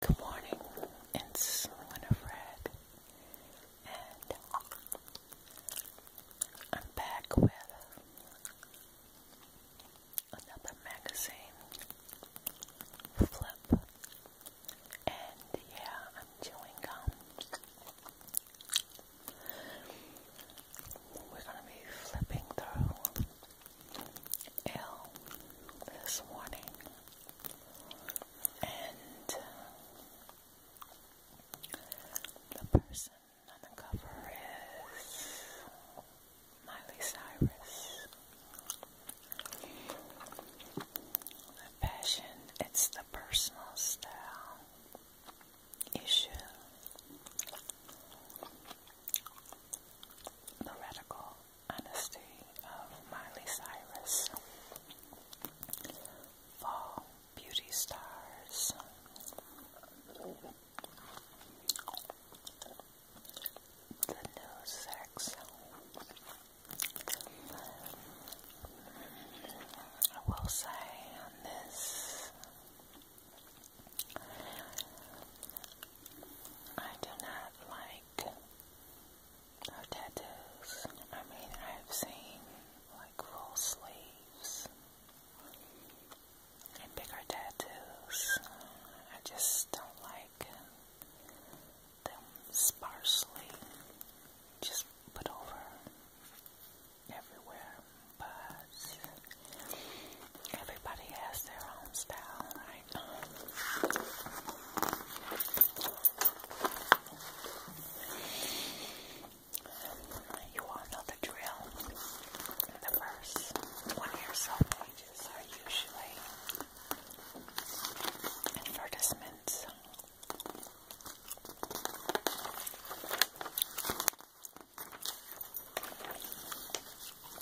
Good morning, it's Winifred, and I'm back with another magazine flip, and yeah, I'm chewing gum. We're going to be flipping through ill this morning, and uh, the person on the cover is Miley Cyrus. The fashion, it's the personal style issue. The radical Honesty of Miley Cyrus, Fall Beauty Stars, The New Sex. I will say on this, I do not like or tattoos. I mean, I've seen like full sleeves and bigger tattoos. I just don't like them sparsely just put over everywhere. But everybody has their own style right. You all know the drill. The first one or so pages are usually advertisements.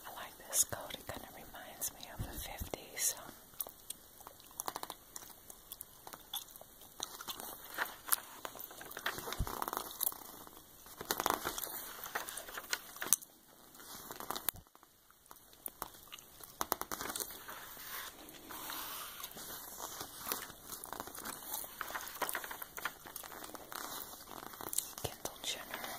I like this coat, it kind of reminds me of the 50s. Kendall Jenner.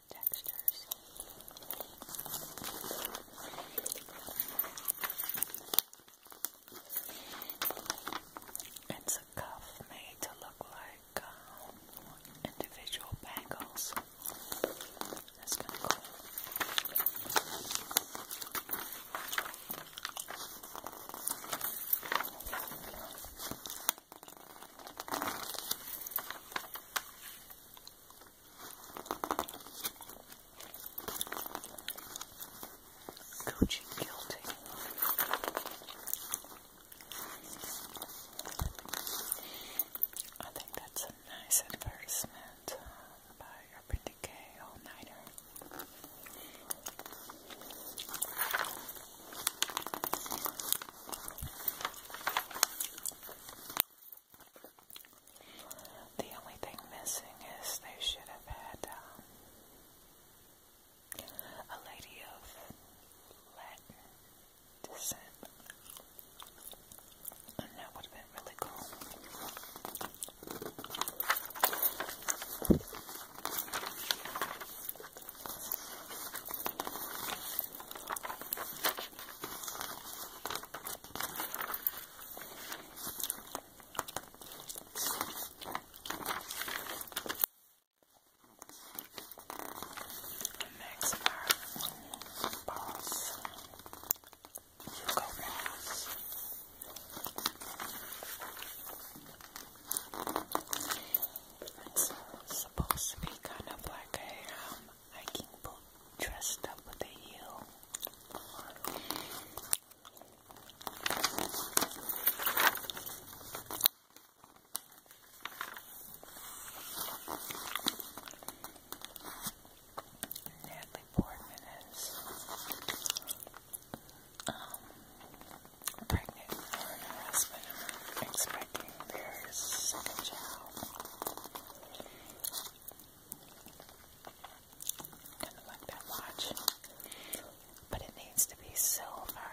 different textures. It's a cuff made to look like um, individual bangles. That's kind Gucci guilty. I think that's a nice advertisement uh, by Urban Decay All Nighter. The only thing missing is they should have had um, a lady of Latin descent. And that would have been really cool. Next are balls. Hugo balls. It's supposed to be kind of like a um, hiking boot dressed up with a heel. Natalie Portman is um, pregnant with her and her expecting their second child. Kind of like that watch, but it needs to be silver.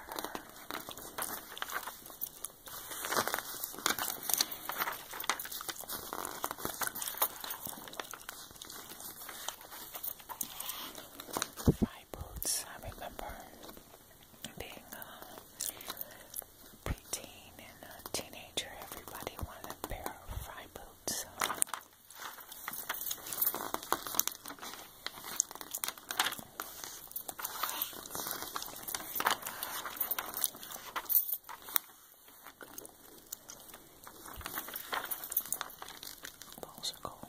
My boots, I remember being a preteen and a teenager, everybody wanted a pair of fry boots. Balls are cool.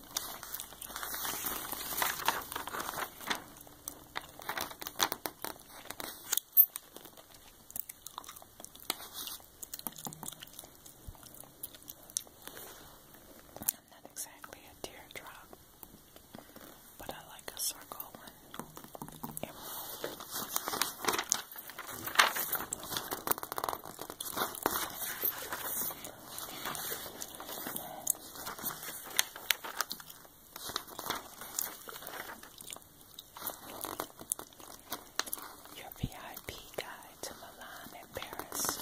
I'm not exactly a teardrop, but I like a circle one. Emerald. Your VIP guide to Milan and Paris.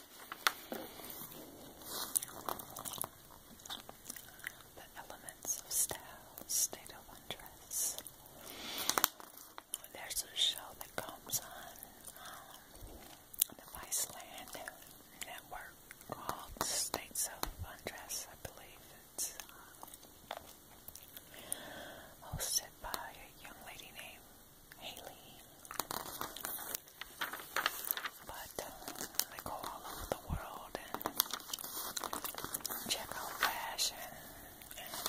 The elements of style, state of undress. There's a show that comes on um, the Viceland network called States of Undress, I believe. It's uh, hosted by a young lady named Haley. But uh, I go all over the world and check out fashion and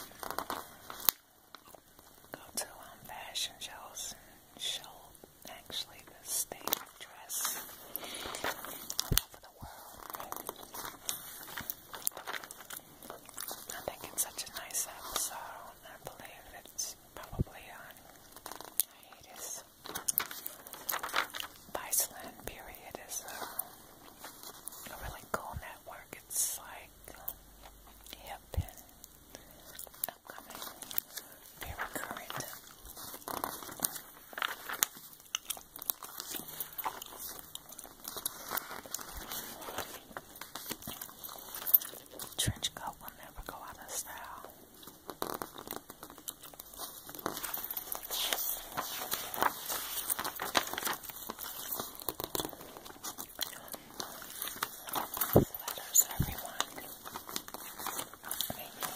go to um, fashion shows and show actually the state of dress all over the world. I think it's such a nice episode. I believe it's is probably on hiatus. Viceland Period is uh, a really cool network. It's like hip and upcoming, very current trench coat will never go out of style. Letters, everyone.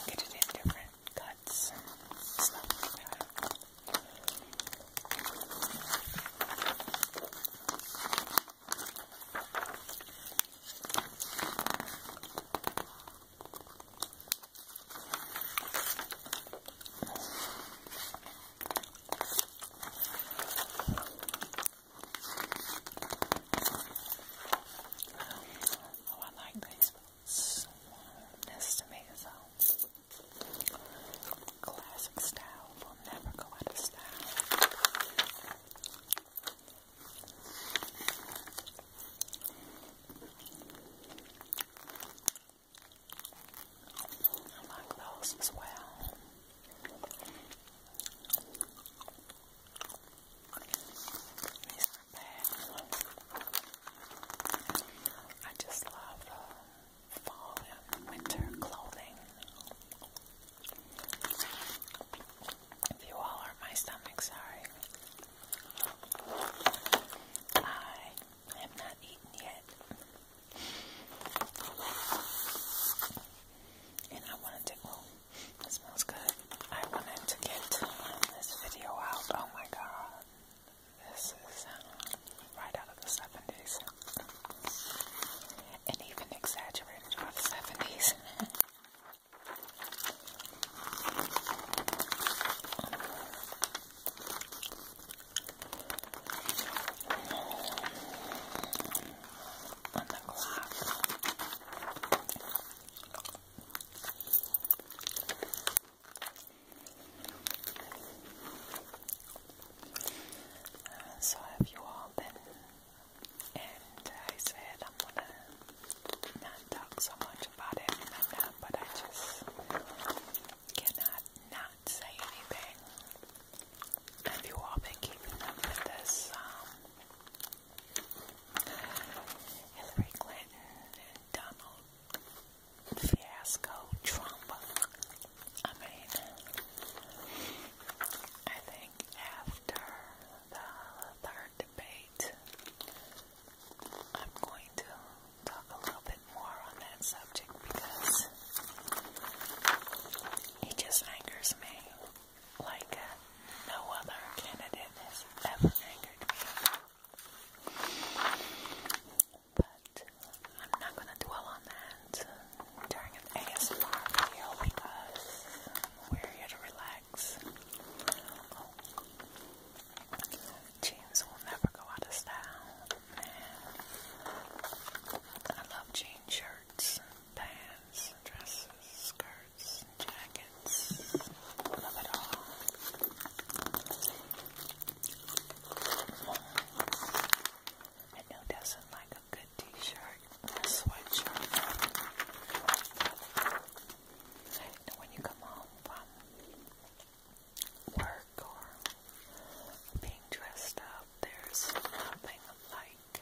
get it in different cuts Oh, I like these. So, this tomato sauce. Classic style will never go out of style. I like those as well. I just love uh, fall and winter clothing. If you all hurt my stomach, sorry. I have not eaten yet. And I wanted to, it smells good. I wanted to get this video out. Oh my god. This is um, right out of the 70s and even exaggerated are the 70s. On the clock. so, have you all been and I said I'm gonna not talk so much about it, and but I just cannot not say anything. Have you all been keeping up with this? Um, Hillary Clinton and Donald fiasco, Trump. I mean, I think after the third debate, I'm going to talk a little bit more on that subject because he just angers me like no other candidate has ever angered me. But I'm not going to dwell on that during an ASMR video because we're here to relax. Jeans will never go out of style, I love jean shirts, pants, dresses, skirts, jackets. love it all. I know doesn't like a good t-shirt and a sweatshirt? And when you come home from work or being dressed up, there's nothing like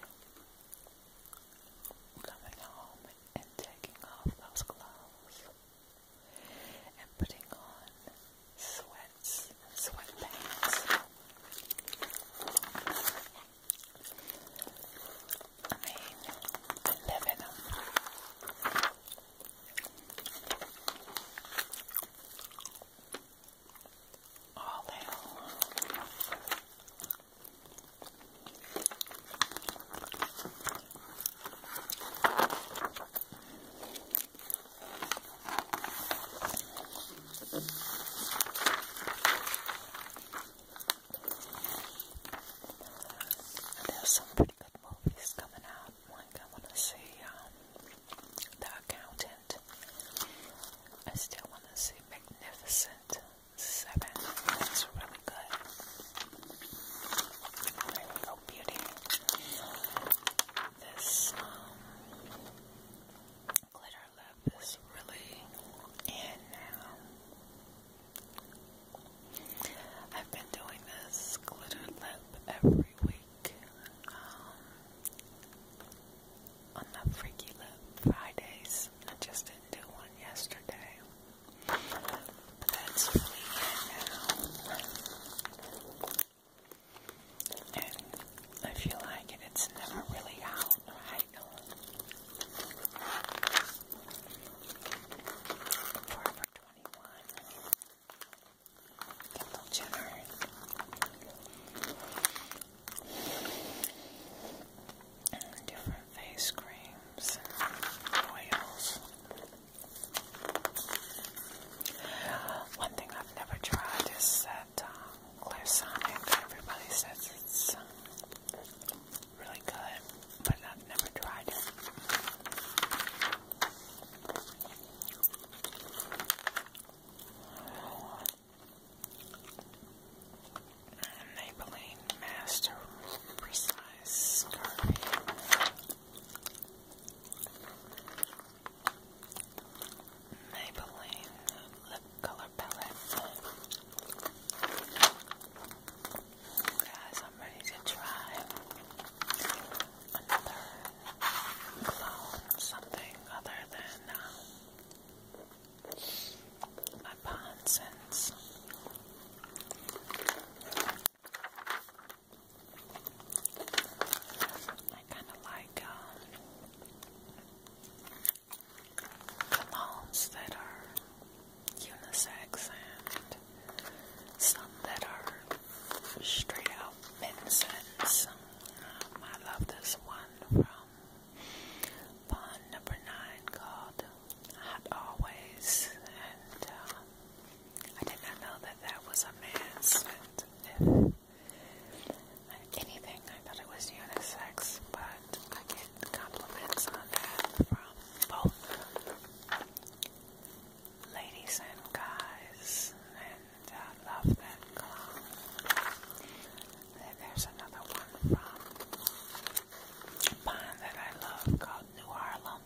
coming home and taking off those clothes and putting on sweat sweats, sweatpants. I mean, I live in them. All day long. I there's some pretty good movies coming out. I want to see um, The Accountant. I still want to see Magnificent Seven. That's really good. There Beauty. This um, glitter our is really in now. Um, I've been doing this glittered lip every week. Um, on the Freaky Lip Fridays. I just didn't do one yesterday. that's really in now and I feel like it's never really out Forever 21 Kendall Jenner different face creams and oils one thing I've never tried is uh, that uh, clear Sonic. Everybody says it's um, really good, but I've never tried it. Maybelline Master Precise Maybelline lip color palette. Guys, I'm ready to try another something other than um, my Pond I kind of like like um, that are unisex and some that are straight out men's. Um, I love this one from Bond Number Nine called Always," and uh, I did not know that that was a man's anything. I thought it was unisex, but I get compliments on that from both ladies and guys, and I love that cologne. Then there's another one from Japan that I love called New Harlem.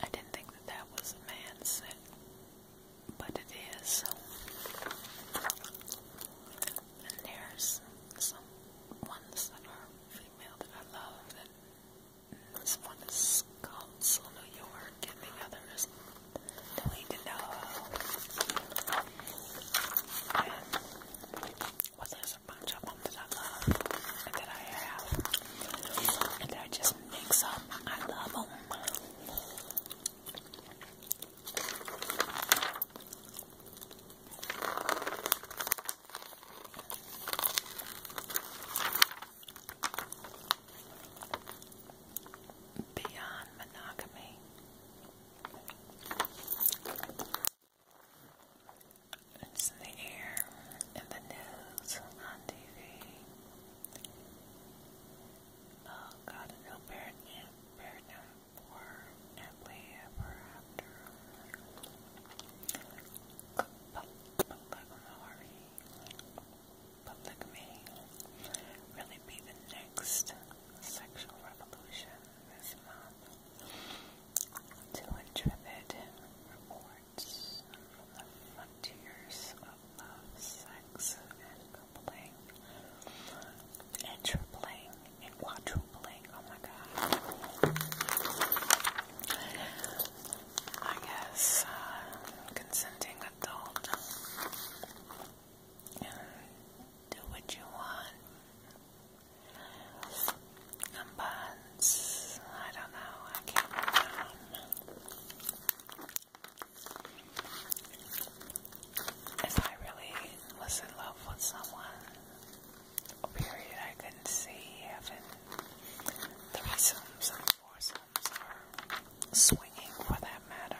I didn't think that that was a man scent but it is. And there's some ones that are female that I love, and this one is called Soul York, and the other is Delete And there's a bunch of them that I love, and that I have, and that I just mix up. I love them. Beyond monogamy. It's in the air, in the news, on TV. Oh God, no burden, burden for happily ever after. Polyamory, polygamy, really be the next sexual revolution this month. To interpret report from the frontiers of love, sex, and coupling, and tripling, and quadrupling. Oh my god. I guess uh, consenting adult. Do what you want. buns. I don't know. I can't remember. If I really was in love with someone, a period I could see having threesomes and foursomes or swinging for that matter.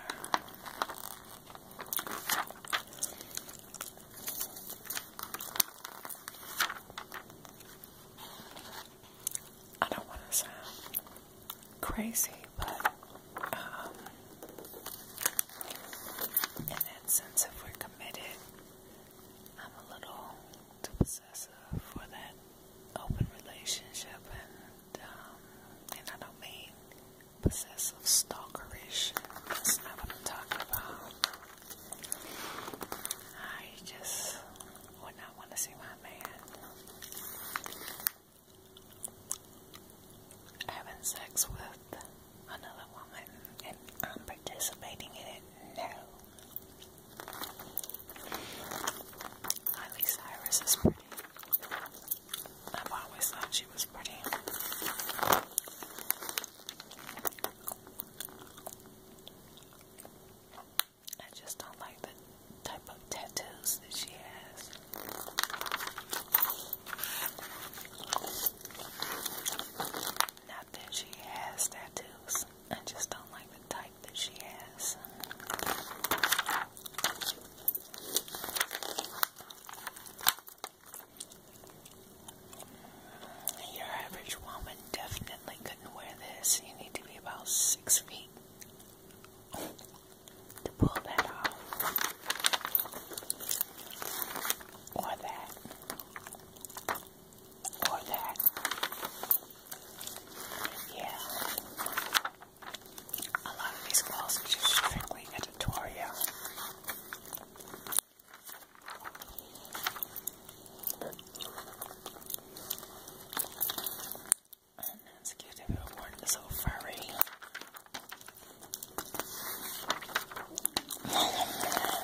I don't want to sound crazy, but um, in that sense, if we're committed, I'm a little possessive for that open relationship, and um, and I don't mean possessive stalkerish. That's not what I'm talking about. I just when I want to see my man having sex with another woman and I'm participating in it. No. Miley Cyrus is pretty. I've always thought she was pretty. I just don't like the type of tattoos that she has. Not that she has tattoos. I just don't like the type that she has. Your average woman definitely couldn't wear this. You need to be about six feet to pull that off. Or that. Or that. Yeah. A lot of these clothes are just strictly editorial. And let's give it a one little furry. Oh,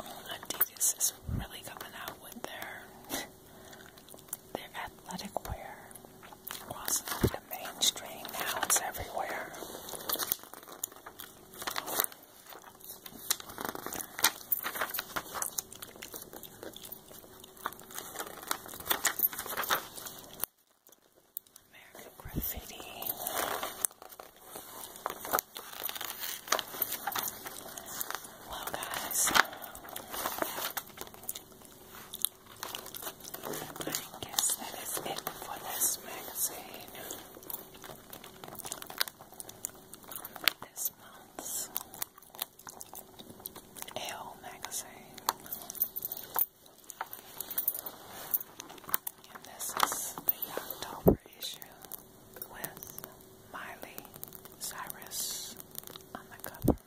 I think this is really coming out with their their athletic wear was the mainstream now, it's everywhere. American graffiti. Well, guys, I guess that is it for this magazine. This month's Ale magazine. And this is the October issue with Miley Cyrus on the cover.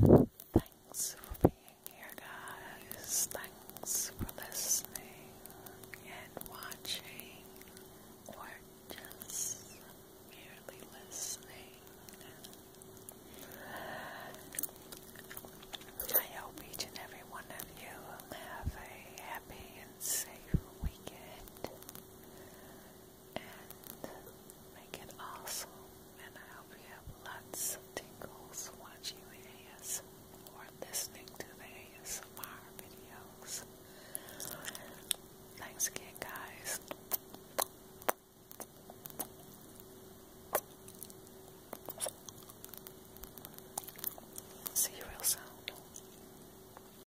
Thanks for being here, guys. Thanks for listening and watching, or just merely listening. I hope each and every one of you have a happy and safe weekend and make it awesome. And I hope you have lots of tingles watching the AS or listening to the ASMR videos. Thanks again, guys. See you real soon.